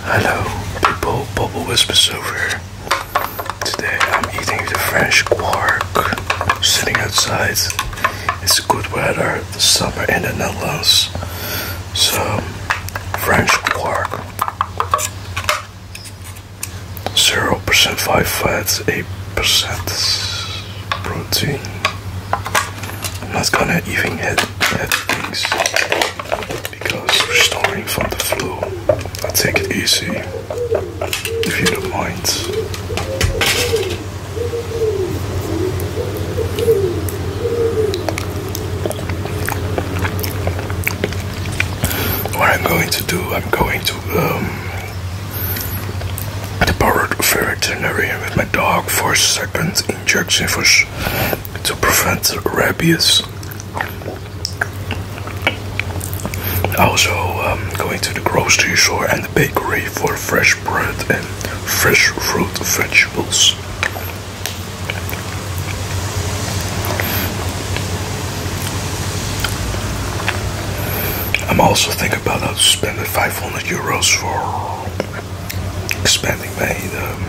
Hello, people. Bubble Whispers over here. Today I'm eating the French quark. Sitting outside. It's good weather. The summer in the Netherlands. So, French quark. 0% fat, 8% protein. I'm not gonna even hit, hit things because we're restoring from the flu. I take it easy, if you don't mind. What I'm going to do, I'm going to um, the borrowed veterinarian with my dog for a second injection for to prevent rabies. Also, um, going to the grocery store and the bakery for fresh bread and fresh fruit vegetables. I'm also thinking about how to spend the 500 euros for expanding my um,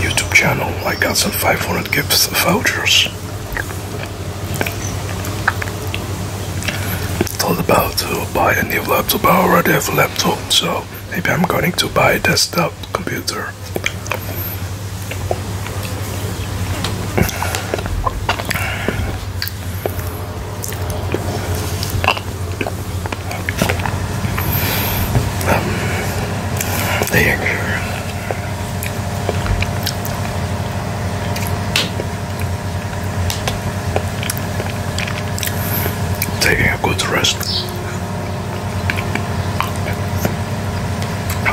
YouTube channel. I got some 500 gifts vouchers. Thought about to buy a new laptop. I already have a laptop, so maybe I'm going to buy a desktop computer um, there. Taking a good rest.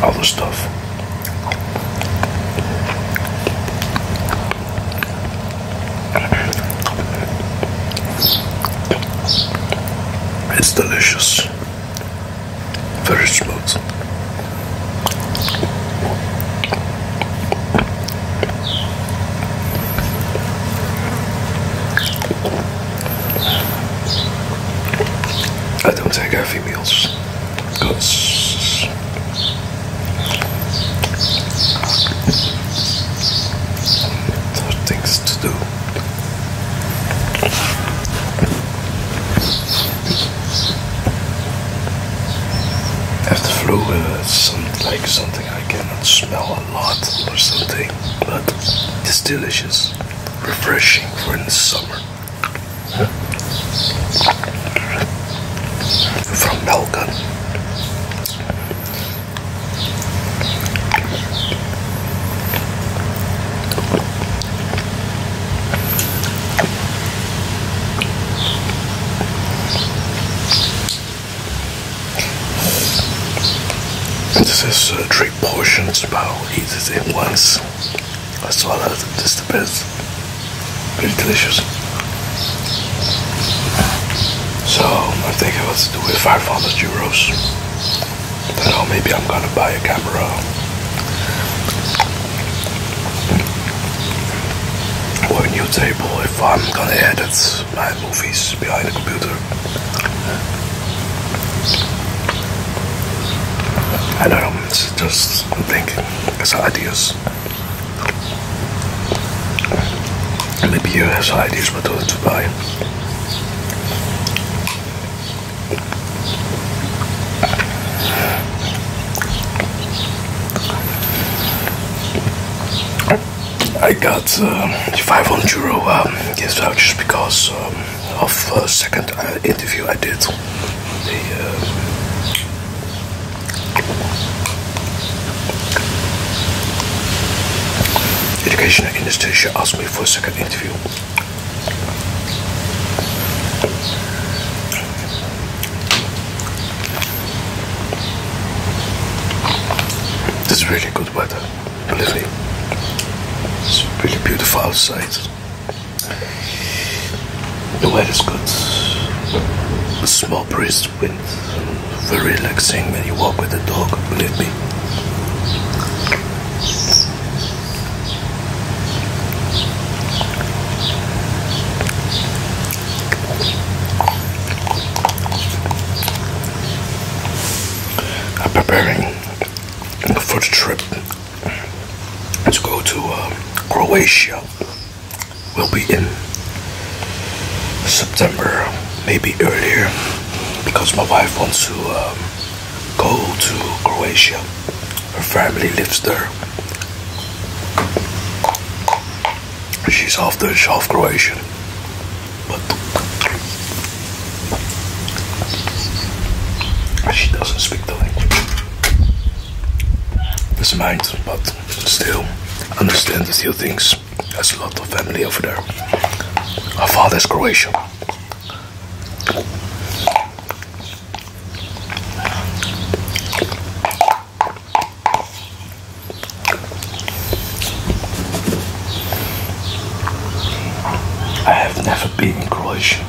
All the stuff. It's delicious, very smooth. I don't take heavy meals because other things to do. Have the flu, uh, some, like something I cannot smell a lot or something, but it's delicious, refreshing for in the summer. From Melkon. This is three portions, about I'll eat it once. That's all that is the best. It's delicious. So i think I was doing do it 500 euros. Then oh, maybe I'm gonna buy a camera. Or a new table if I'm gonna edit my movies behind the computer. I don't know, it's just I'm thinking, it's ideas. Libya has ideas what to buy. I got uh, 500 uh, euro um, gift vouchers because uh, of second interview I did. Educational institution asked me for a second interview. This is really good weather, believe me. It's really beautiful outside. The weather is good. A small breeze wind. Very relaxing when you walk with the dog, believe me. I'm preparing for the trip Let's go to uh, Croatia will be in September, maybe earlier, because my wife wants to um, go to Croatia. Her family lives there. She's half Dutch, half Croatian. But she doesn't speak the language. It's mine, but still, understand a few things. There's a lot of family over there. Our father's Croatian. I have never been Croatian.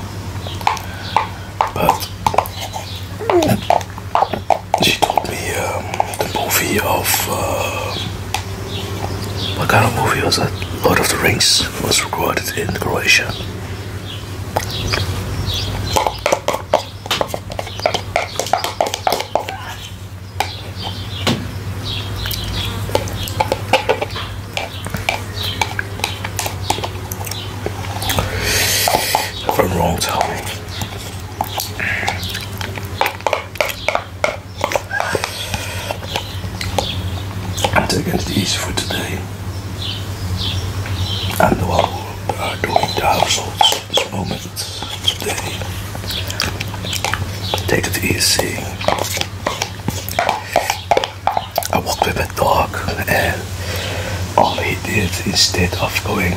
But she told me um, the movie of uh, what kind of movie was that? Lord of the Rings was recorded in Croatia. I'm wrong, tell I'm taking it easy for today. And the I will uh, doing the households at this moment today. Take it easy. I walked with a dog and all he did instead of going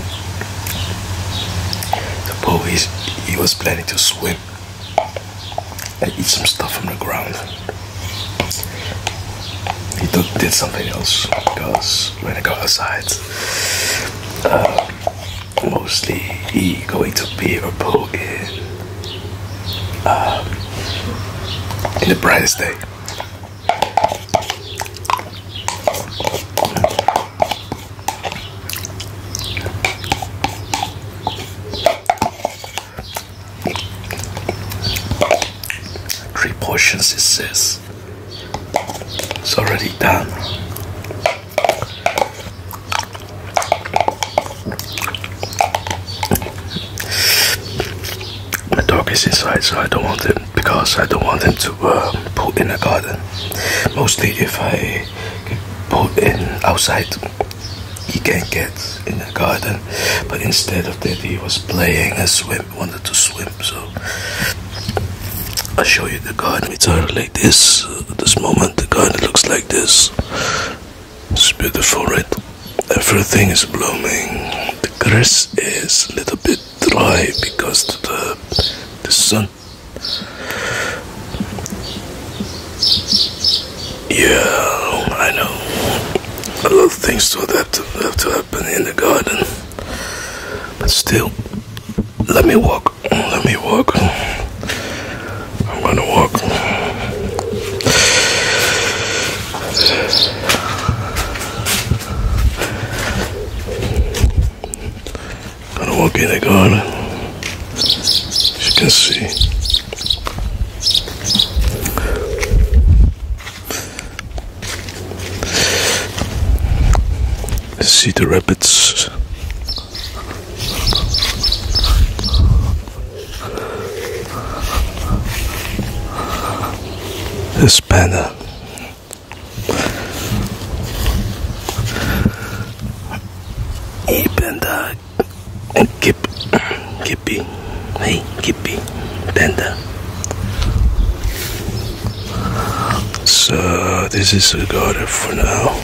the pool is he was planning to swim and eat some stuff from the ground. He did something else because when I go outside uh, mostly he going to be or pool in uh, in the brightest day. Three portions, it says. It's already done. My dog is inside, so I don't want them because I don't want them to uh, put in the garden. Mostly, if I put in outside, he can get in the garden. But instead of that, he was playing and swim, wanted to swim. So i show you the garden. It's like this. At uh, this moment, the garden looks like this. It's beautiful, right? Everything is blooming. The grass is a little bit dry because the, the sun. Yeah, I know. A lot of things have to happen in the garden. But still, let me walk. Let me walk. I'm gonna walk. gonna walk in the garden. As you can see. See the rabbits. This better. Hey, Panda. Kip. Kippy. Hey, Kippy. Panda. So, this is a order for now.